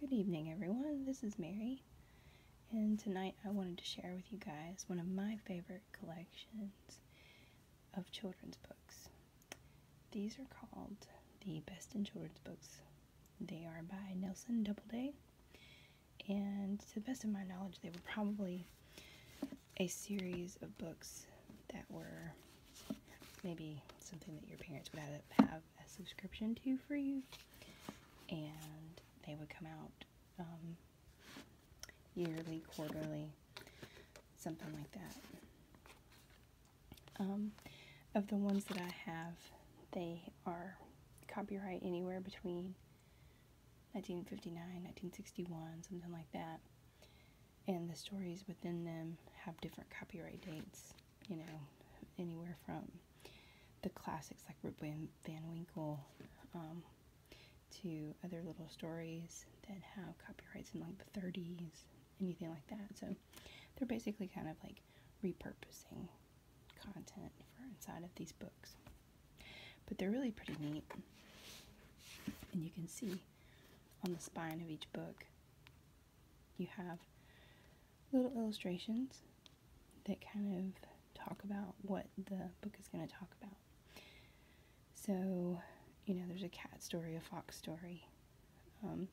Good evening, everyone. This is Mary, and tonight I wanted to share with you guys one of my favorite collections of children's books. These are called the Best in Children's Books. They are by Nelson Doubleday, and to the best of my knowledge, they were probably a series of books that were maybe something that your parents would have a subscription to for you, and they would come out um, yearly, quarterly, something like that. Um, of the ones that I have, they are copyright anywhere between 1959, 1961, something like that. And the stories within them have different copyright dates you know, anywhere from the classics like Rip Van, Van Winkle um, to other little stories that have copyrights in like the 30s, anything like that. So they're basically kind of like repurposing content for inside of these books. But they're really pretty neat. And you can see on the spine of each book you have little illustrations that kind of talk about what the book is going to talk about. So, you know, there's a cat story, a fox story. Um,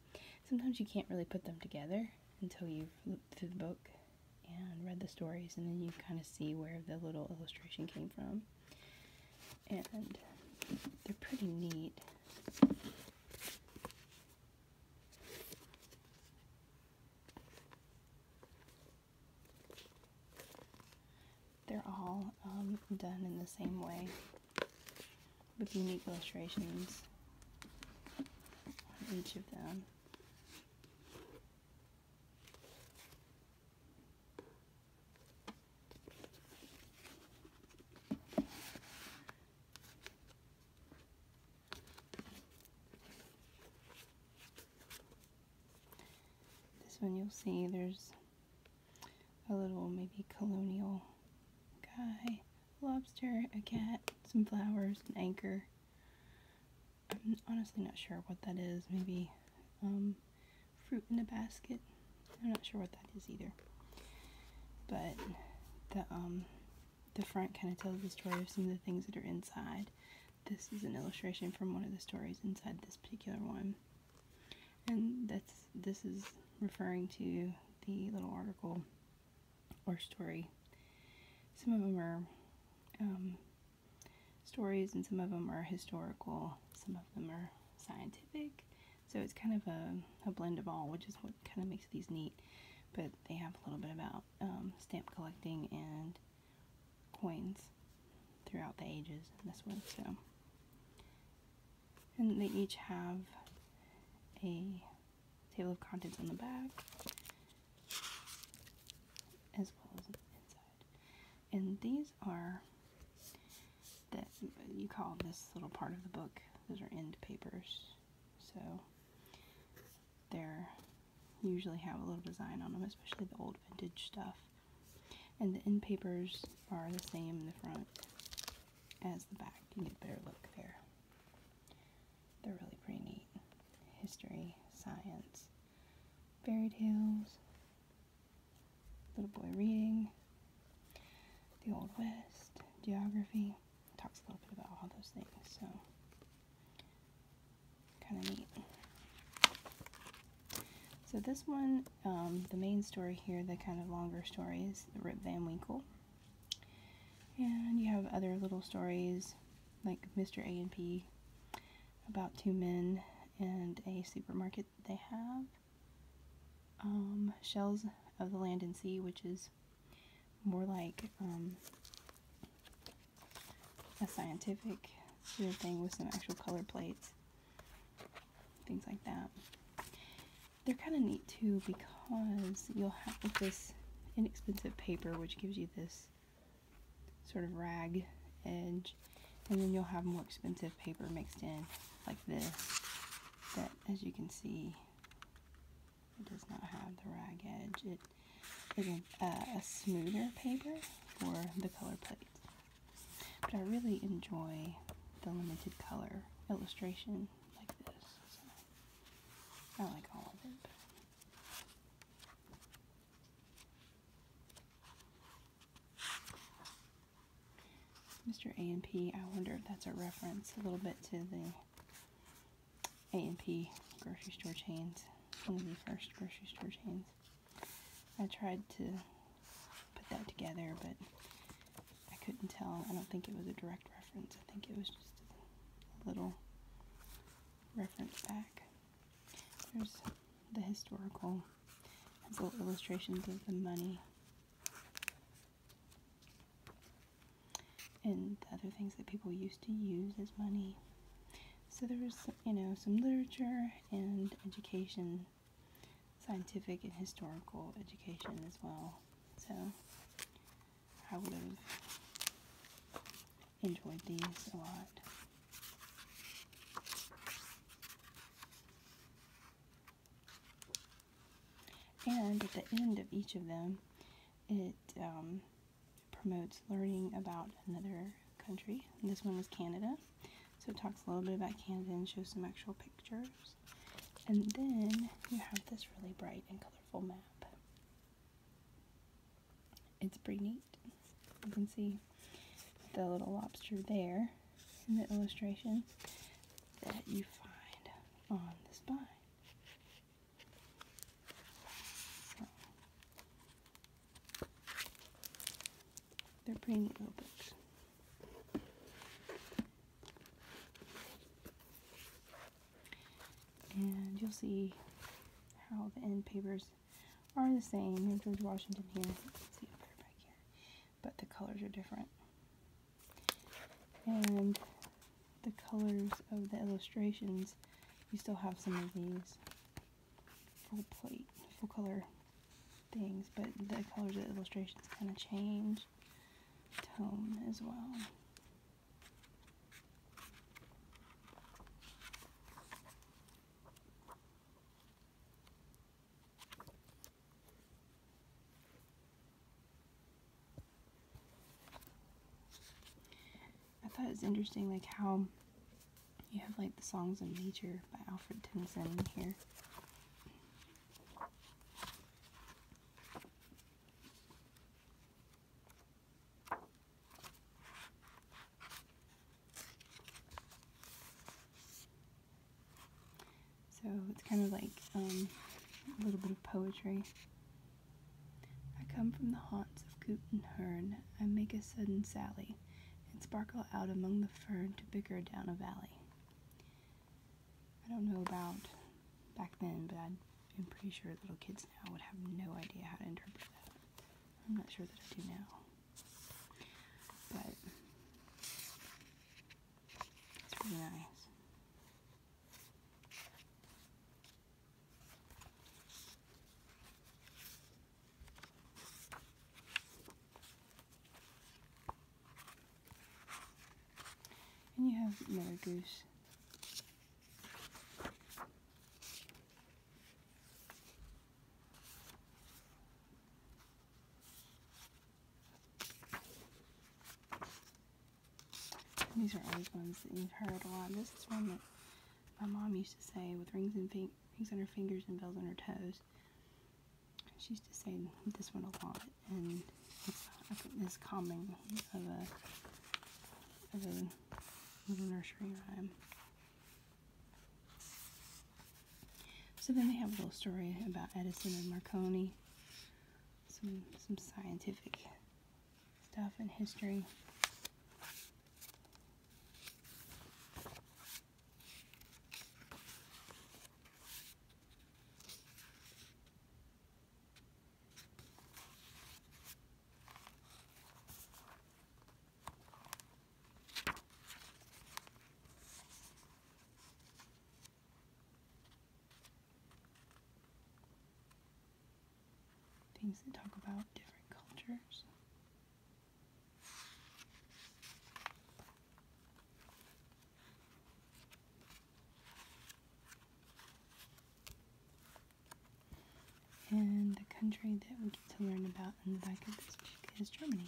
sometimes you can't really put them together until you've looked through the book and read the stories, and then you kind of see where the little illustration came from. And they're pretty neat. They're all um, done in the same way with unique illustrations on each of them. This one you'll see there's a little maybe colonial guy, lobster, a cat, some flowers, an anchor. I'm honestly not sure what that is. Maybe um, fruit in a basket. I'm not sure what that is either. But the um the front kind of tells the story of some of the things that are inside. This is an illustration from one of the stories inside this particular one. And that's this is referring to the little article or story. Some of them are um, stories and some of them are historical, some of them are scientific, so it's kind of a, a blend of all, which is what kind of makes these neat. But they have a little bit about um, stamp collecting and coins throughout the ages in this one. So, And they each have a table of contents on the back, as well as inside. And these are that you call this little part of the book those are end papers, so they're usually have a little design on them, especially the old vintage stuff. And the end papers are the same in the front as the back. You get a better look there. They're really pretty neat. History, science, fairy tales, little boy reading, the Old West, geography talks a little bit about all those things. So, kind of neat. So this one, um, the main story here, the kind of longer story is Rip Van Winkle. And you have other little stories like Mr. A and P about two men and a supermarket that they have. Um, shells of the Land and Sea, which is more like um, a scientific sort of thing with some actual color plates, things like that. They're kind of neat too because you'll have this inexpensive paper which gives you this sort of rag edge and then you'll have more expensive paper mixed in like this that as you can see it does not have the rag edge. It is a, uh, smoother paper for the color plates. But I really enjoy the limited color illustration like this. I like all of it. Mr. A&P, I wonder if that's a reference a little bit to the A&P grocery store chains, one of the first grocery store chains. I tried to put that together, but I couldn't tell. I don't think it was a direct reference. I think it was just a little reference back. There's the historical, has little illustrations of the money and other things that people used to use as money. So there was, you know, some literature and education, scientific and historical education as well. So I would have enjoyed these a lot. And at the end of each of them, it um, promotes learning about another country. this one is Canada. So it talks a little bit about Canada and shows some actual pictures. And then you have this really bright and colorful map. It's pretty neat. You can see the little lobster there in the illustrations that you find on the spine. they're pretty neat little books. And you'll see how the end papers are the same. George Washington here but the colors are different. And the colors of the illustrations, you still have some of these full plate, full color things, but the colors of the illustrations kind of change tone as well. I thought it was interesting, like how you have like the songs of nature by Alfred Tennyson here. So it's kind of like um, a little bit of poetry. I come from the haunts of coot and hern. I make a sudden sally and sparkle out among the fern to bicker down a valley. I don't know about back then, but I'm pretty sure little kids now would have no idea how to interpret that. I'm not sure that I do now. But and you have another goose. These are always ones that you've heard a lot. This is one that my mom used to say with rings and rings on her fingers and bells on her toes. She used to say this one a lot, and it's this calming of a little nursery rhyme. So then they have a little story about Edison and Marconi some some scientific stuff and history. Things that talk about different cultures. And the country that we get to learn about in the back of this book is Germany.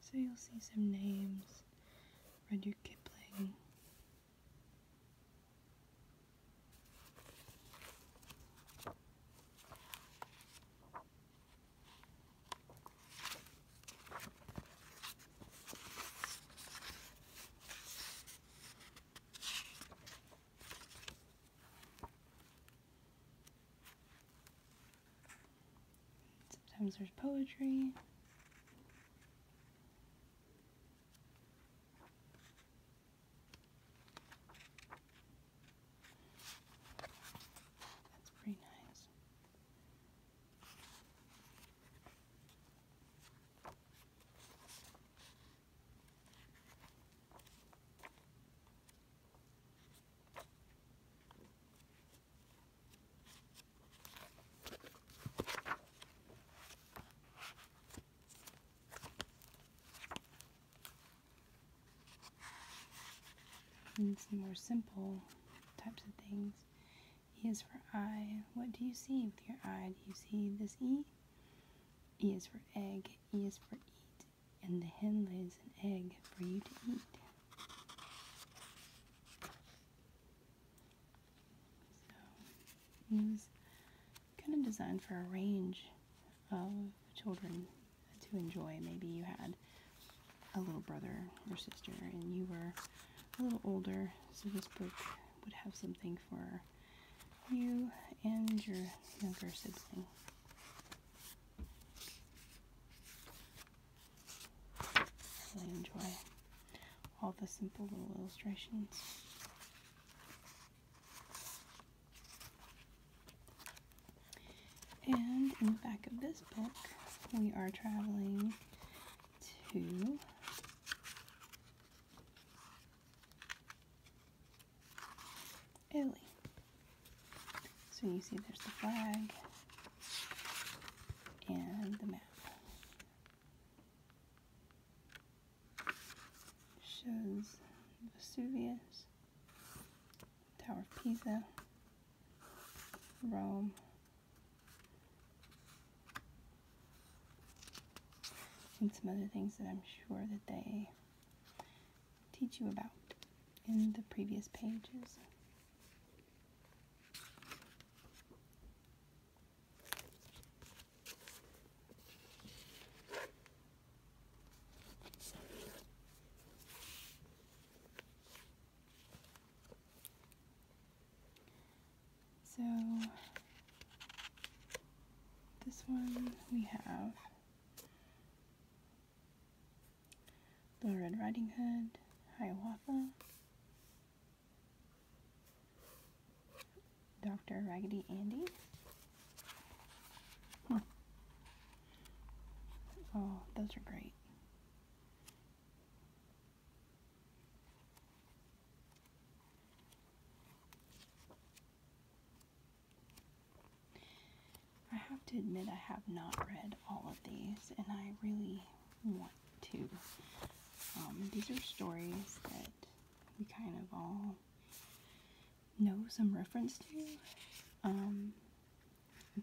So you'll see some names Rudyard Kipling. Sometimes there's poetry. That's pretty nice. And some more simple types of things. E is for eye. What do you see with your eye? Do you see this E? E is for egg. E is for eat. And the hen lays an egg for you to eat. So he was kind of designed for a range of children to enjoy. Maybe you had a little brother or sister and you were a little older, so this book would have something for you and your younger sibling. I enjoy all the simple little illustrations. And in the back of this book, we are traveling to Italy. So you see there's the flag, and the map. Shows Vesuvius, Tower of Pisa, Rome, and some other things that I'm sure that they teach you about in the previous pages. So this one we have Little Red Riding Hood, Hiawatha, Dr. Raggedy Andy. Hmm. Oh, those are great. I have to admit, I have not read all of these, and I really want to. Um, these are stories that we kind of all know some reference to, um,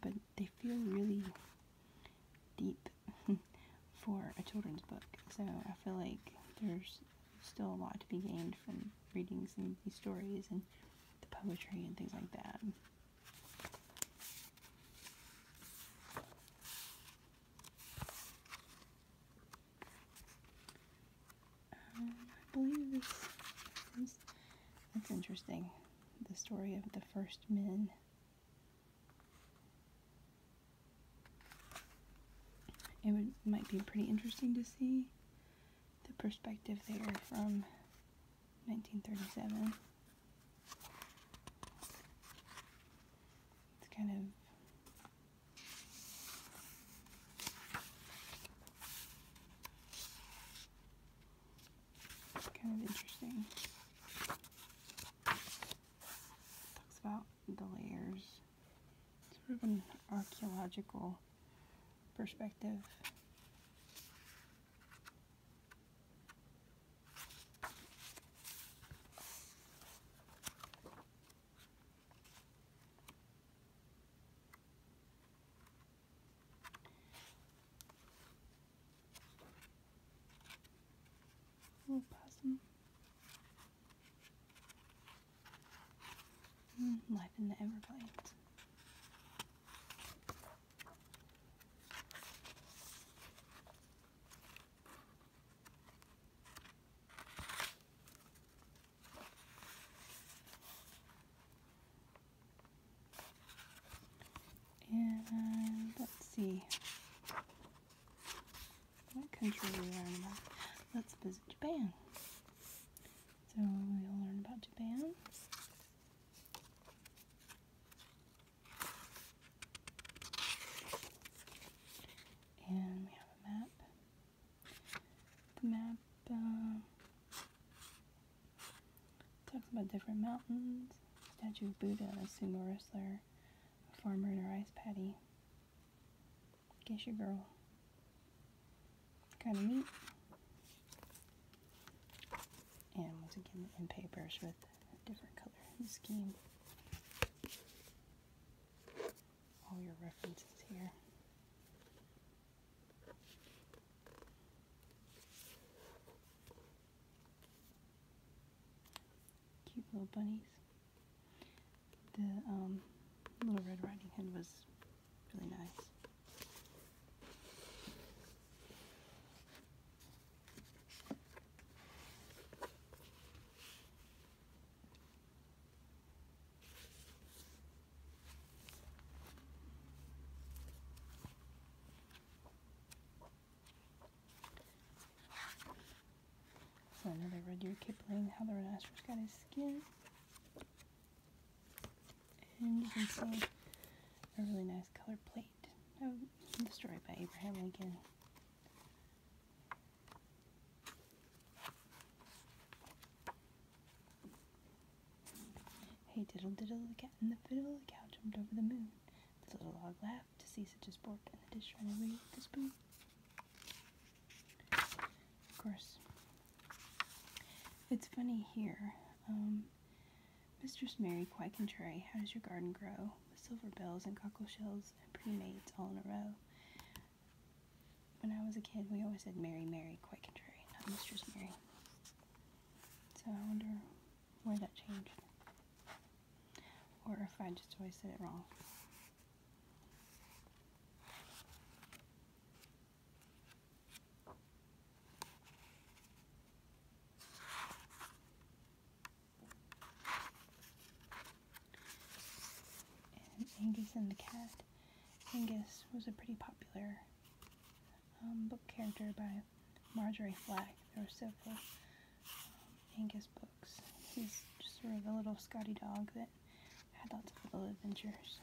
but they feel really deep for a children's book. So I feel like there's still a lot to be gained from reading some of these stories and the poetry and things like that. Um, I believe this that's interesting. The story of the first men. It would, might be pretty interesting to see the perspective there from 1937. It's kind of kind of interesting. Talks about the layers. Sort of an archaeological perspective. Little possum. life in the Everglades. And let's see. What country we learn about? Let's visit Japan. So we'll learn about Japan. And we have a map. The map um, talks about different mountains, statue of Buddha, a sumo wrestler, a farmer in a rice paddy. Geisha girl. Kind of neat. And once again, in papers with different color scheme. All your references here. Cute little bunnies. The um, Little Red Riding Hood was really nice. So another Rudyard Kipling, How the Rhinoceros Got His Skin. And you can see a really nice color plate Oh, the story by Abraham Lincoln. Hey, diddle diddle, the cat in the fiddle, the cow jumped over the moon. The little log laughed to see such a sport, and the dish ran away with the spoon. Of course, it's funny here. Um, Mistress Mary, quite contrary, how does your garden grow? With silver bells and cockle shells and primates all in a row. When I was a kid, we always said Mary, Mary, quite contrary, not Mistress Mary. So I wonder where that changed. Or if I just always said it wrong. Angus and the Cat. Angus was a pretty popular um, book character by Marjorie Flack. There were several um, Angus books. He's sort of a little Scotty dog that had lots of little adventures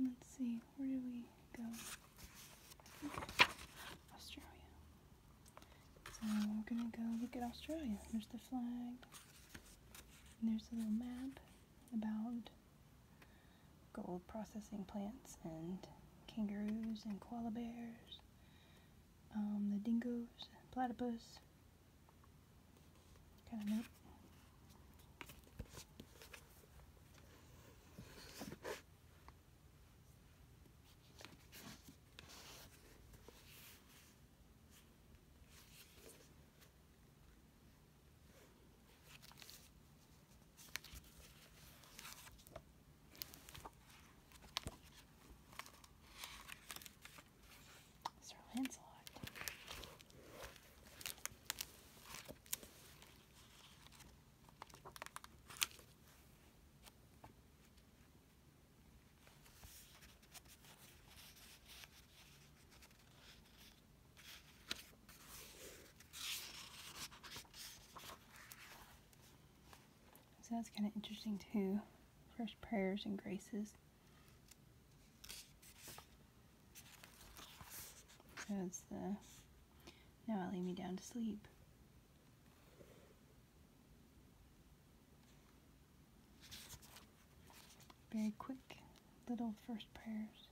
let's see, where do we go? Australia. So we're gonna go look at Australia. There's the flag. And there's a little map about gold processing plants and kangaroos and koala bears, um, the dingoes, platypus, kind of neat. Sir Lancelot. So that's kind of interesting too. First prayers and graces. So the now I lay me down to sleep. Very quick little first prayers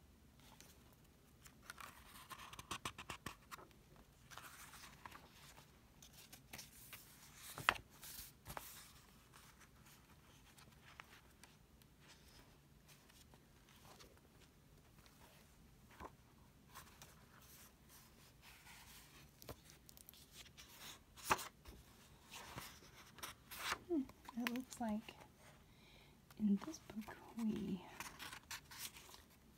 it hmm, looks like in this book, we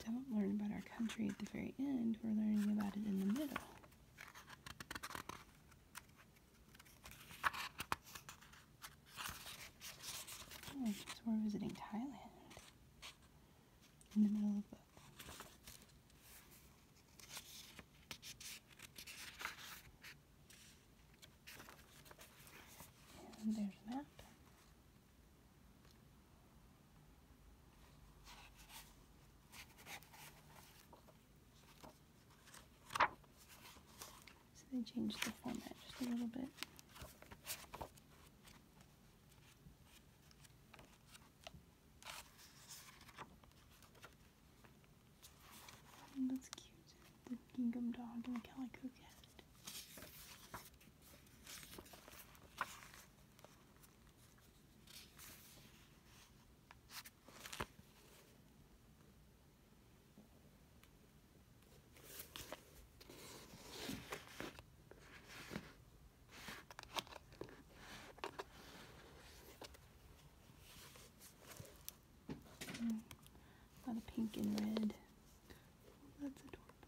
don't learn about our country at the very end, we're learning about it in the middle. Oh, we're visiting Thailand in the middle of the book. And there's a map. So they changed the format just a little bit. That's cute the gingham dog and the calico cat. Mm. A lot of pink and red. That's adorable.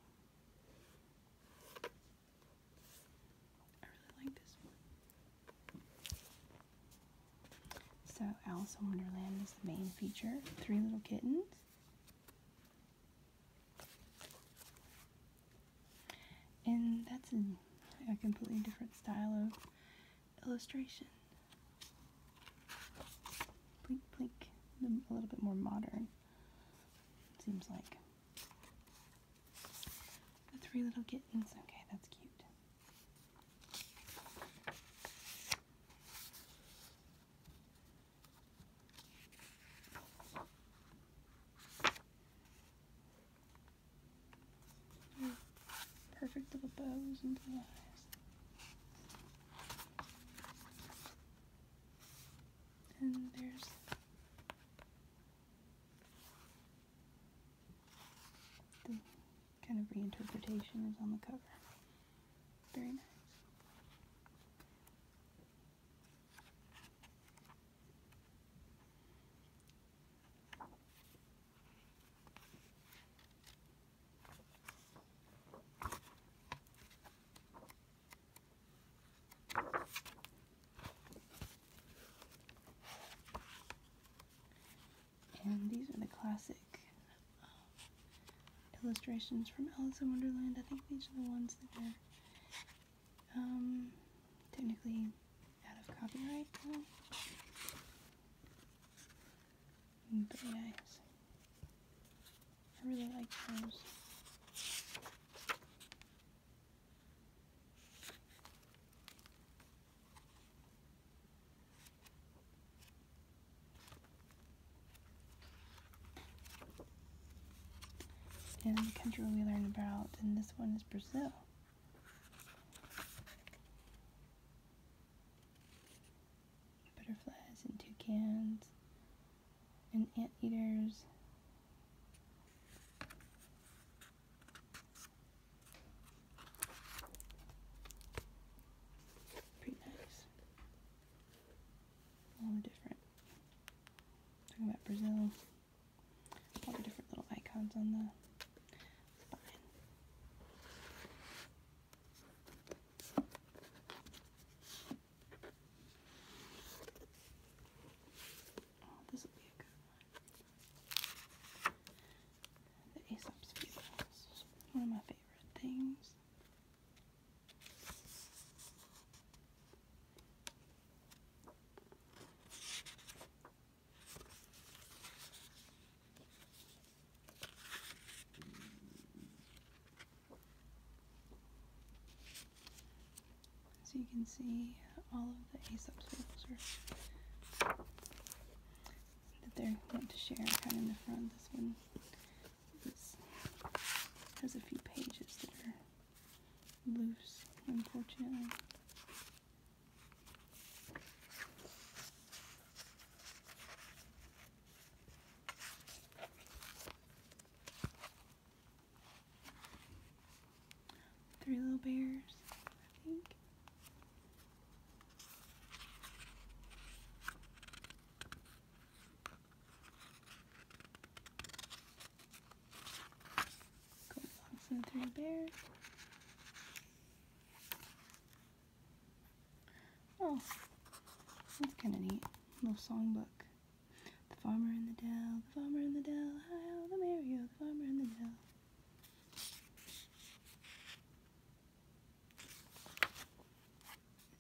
I really like this one. So Alice in Wonderland is the main feature. Three little kittens. And that's a completely different style of illustration. Plink, plink. A little bit more modern. Seems like. The three little kittens. Okay, that's cute. Perfect little bows and eyes. And there's the kind of reinterpretation is on the cover. Very nice. And these are the classic um, illustrations from Alice in Wonderland. I think these are the ones that are um, technically out of copyright but yeah, I really like those. And the country we learned about, and this one is Brazil butterflies and toucans and anteaters. Pretty nice. All the different, talking about Brazil, all the different little icons on the Oh, this will be a good one. The Aesop's Fables. One of my favorite things. So you can see all of the A subsoils that they're to share kind of in the front. This one has a few pages that are loose, unfortunately. Three Little Bears, I think. Three Bears. Oh, that's kind of neat. Little songbook. The farmer in the dell, the farmer in the dell, hi, oh, the merry the farmer in the dell.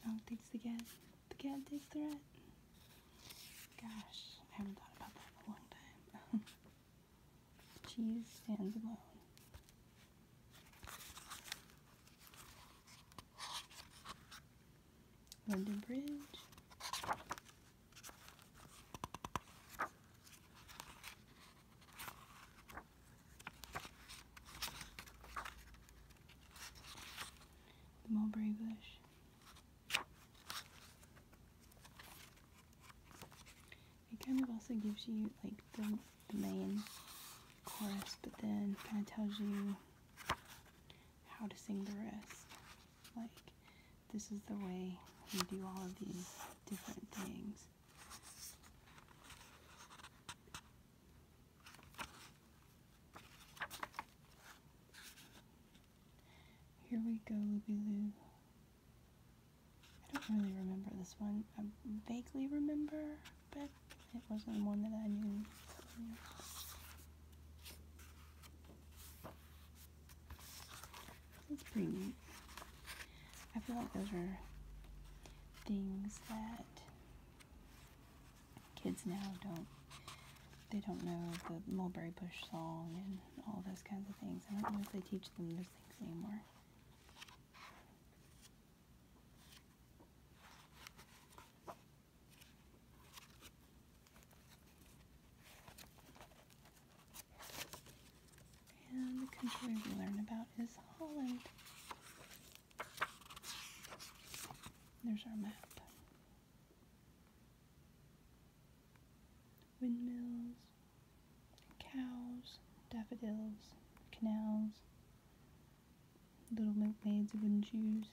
Dog takes the cat, the cat takes the rat. Gosh, I haven't thought about that in a long time. cheese stands alone. London Bridge. mulberry bush. It kind of also gives you like the, main chorus, but then kind of tells you how to sing the rest. Like, this is the way you do all of these different things. Here we go, Luby I don't really remember this one. I vaguely remember, but it wasn't one that I knew. It's pretty neat. I feel like those are things that kids now don't they don't know the mulberry bush song and all those kinds of things. I don't know if they teach them those things anymore. And the country we learn about is Holland. There's our map. Windmills, cows, daffodils, canals, little milkmaids of wooden shoes.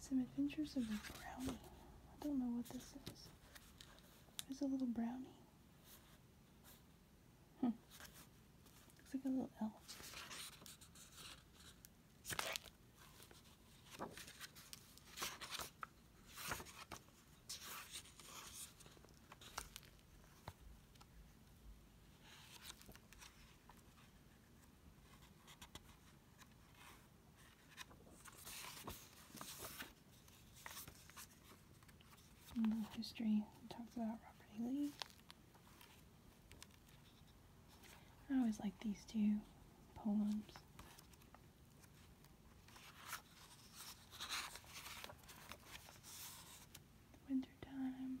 Some Adventures of a Brownie. I don't know what this is. There's a little brownie. Hmm. Looks like a little L history talks about Robert E. Lee. I always like these two poems. Winter time,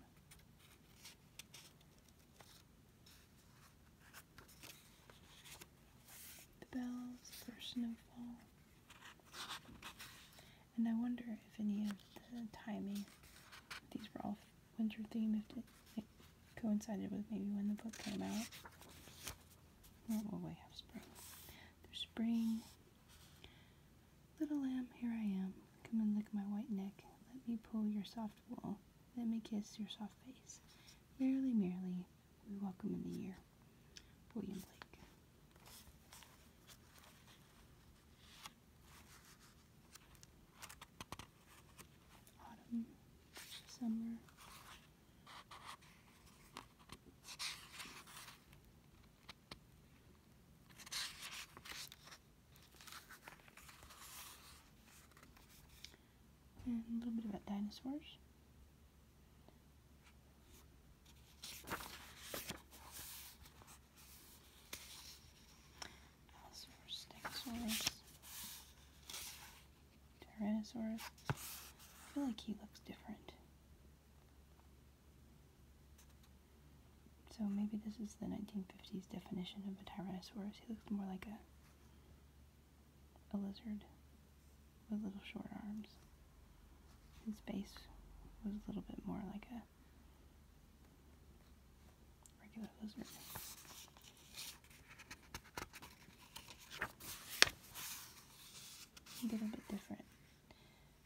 The bells for snowfall. And I wonder if any of the timing, these were all winter themed, if it, coincided with maybe when the book came out. Oh, well, we have spring. There's spring. Little lamb, here I am. Come and lick my white neck. Let me pull your soft wool. Let me kiss your soft face. Merrily, merrily, we welcome in the year. William Blake. Autumn, summer. And a little bit about dinosaurs. Stegosaurus. Tyrannosaurus. I feel like he looks different. So maybe this is the 1950s definition of a Tyrannosaurus. He looks more like a, a lizard with little short arms. His face was a little bit more like a regular lizard. A little bit different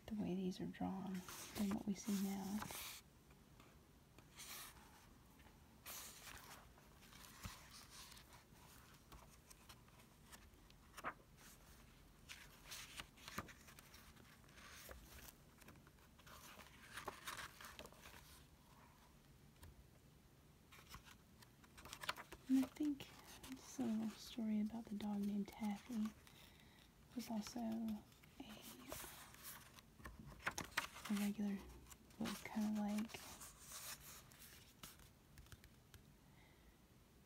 the way these are drawn than what we see now. I think a little story about the dog named Taffy was also a, regular kind of like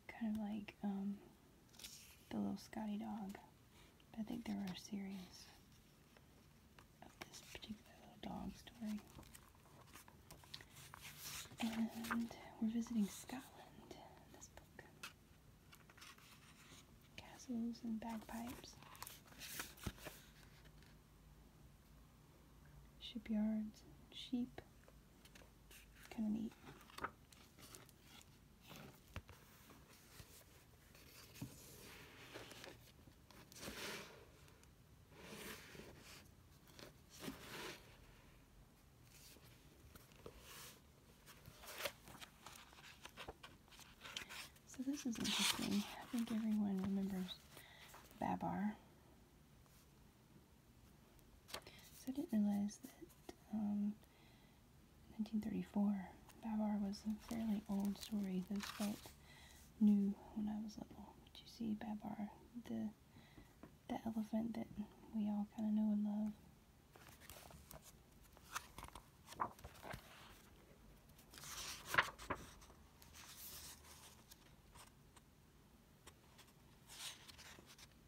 kind of like um, the little Scotty dog. I think there are a series of this particular little dog story. And we're visiting Scotland this book. Castles and bagpipes. Shipyards, sheep. Kind of neat. So this is interesting. I think everyone remembers Babar. So I didn't realize that 1934, um, Babar was a fairly old story. Those felt new when I was little. But you see Babar, the, the elephant that we all kind of know and love.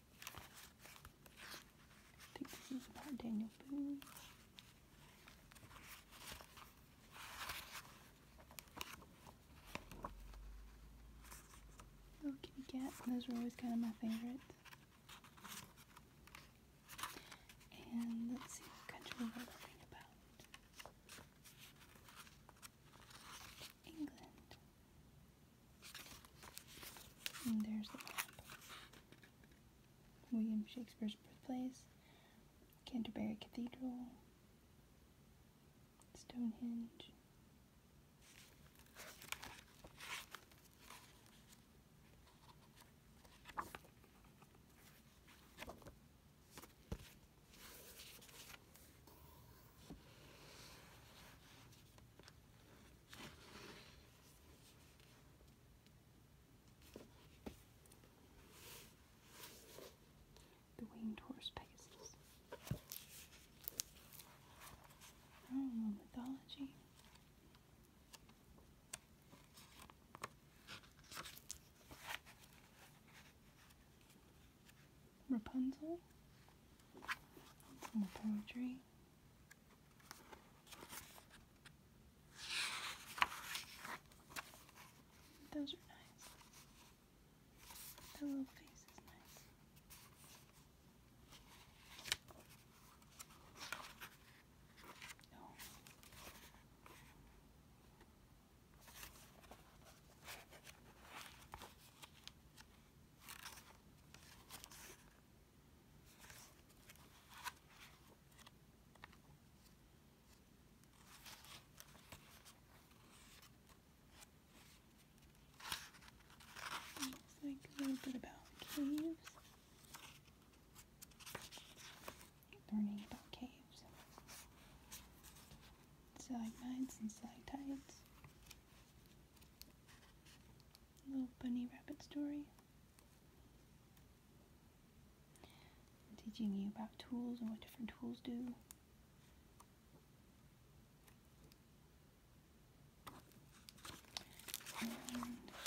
I think this is about Daniel Boone. Little kitty cat. Those were always kind of my favorites. And let's see what country we're learning about. England there's the map. William Shakespeare's birthplace, Canterbury Cathedral, Stonehenge. The winged horse Pegasus. Roman oh, mythology. Rapunzel. Some poetry. Those are nice. The little face is nice. Oh. Just like a little bit about caves. Learning about caves. Stalagmites and stalactites. Little bunny rabbit story. teaching you about tools and what different tools do.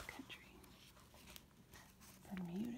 country. Bermuda.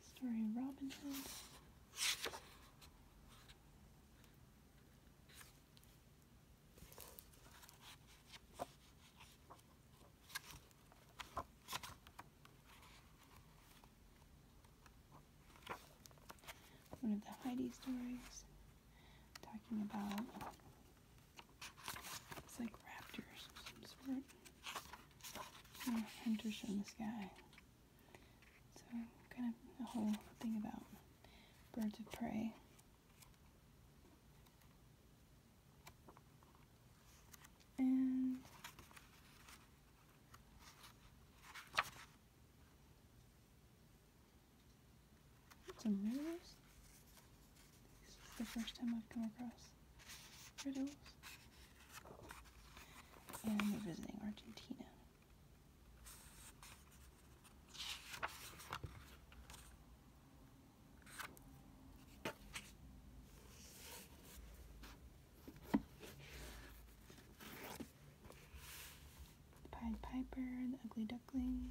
Story of Robin Hood one of the Heidi stories talking about it's like raptors of some sort. Or hunters from the sky. So kind of a whole thing about birds of prey. And some riddles? This is the first time I've come across riddles. And we're visiting Argentina. The Pied Piper, the Ugly Duckling.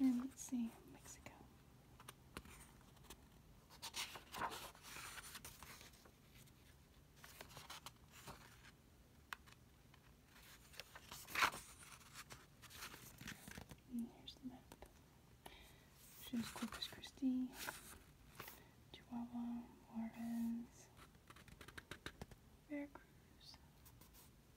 And let's see, Mexico. here's the map. Shows Corpus Christi, Chihuahua, Juarez, Veracruz,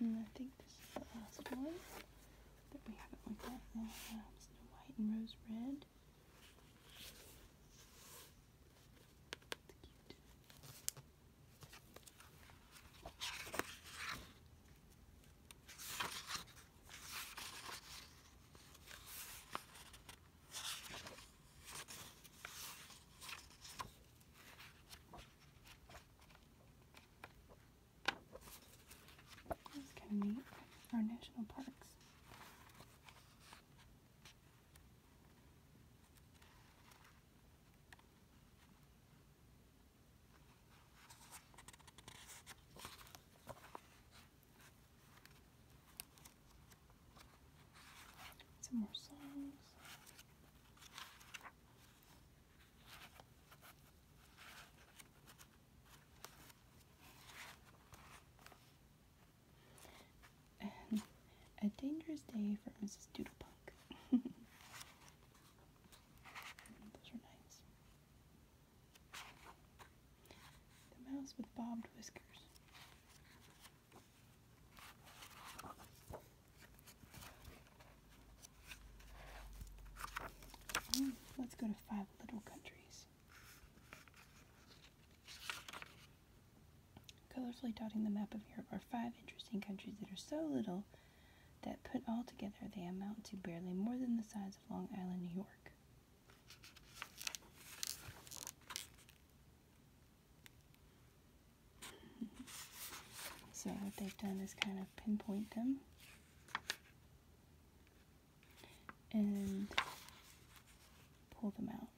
And I think this is the last one that we haven't looked at. Now. Um, White and Rose Red. It's cute. That's kind of Our national parks. Some more songs a dangerous day for Mrs. Doodlepunk. Those are nice. The mouse with bobbed whiskers. Mm, let's go to five little countries. Colorfully dotting the map of Europe are five interesting countries that are so little that put all together they amount to barely more than the size of Long Island, New York. so what they've done is kind of pinpoint them and pull them out.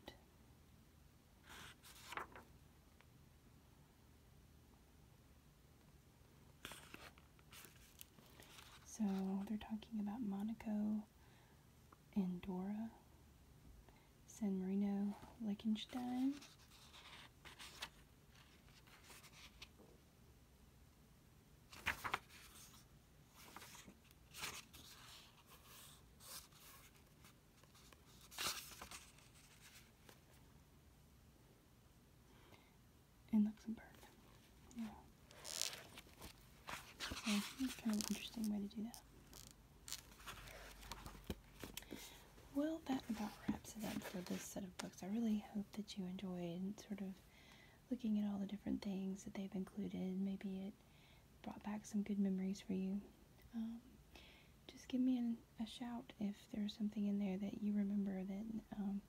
So they're talking about Monaco and Dora, San Marino, Liechtenstein, in Luxembourg. Yeah. it's kind of an interesting way to do that well, that about wraps it up for this set of books. I really hope that you enjoyed sort of looking at all the different things that they've included. Maybe it brought back some good memories for you. Um, just give me an, a shout if there's something in there that you remember that um,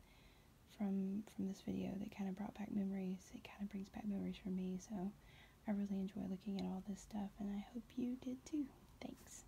from from this video that kind of brought back memories. It kind of brings back memories for me, so I really enjoy looking at all this stuff, and I hope you did too. Thanks.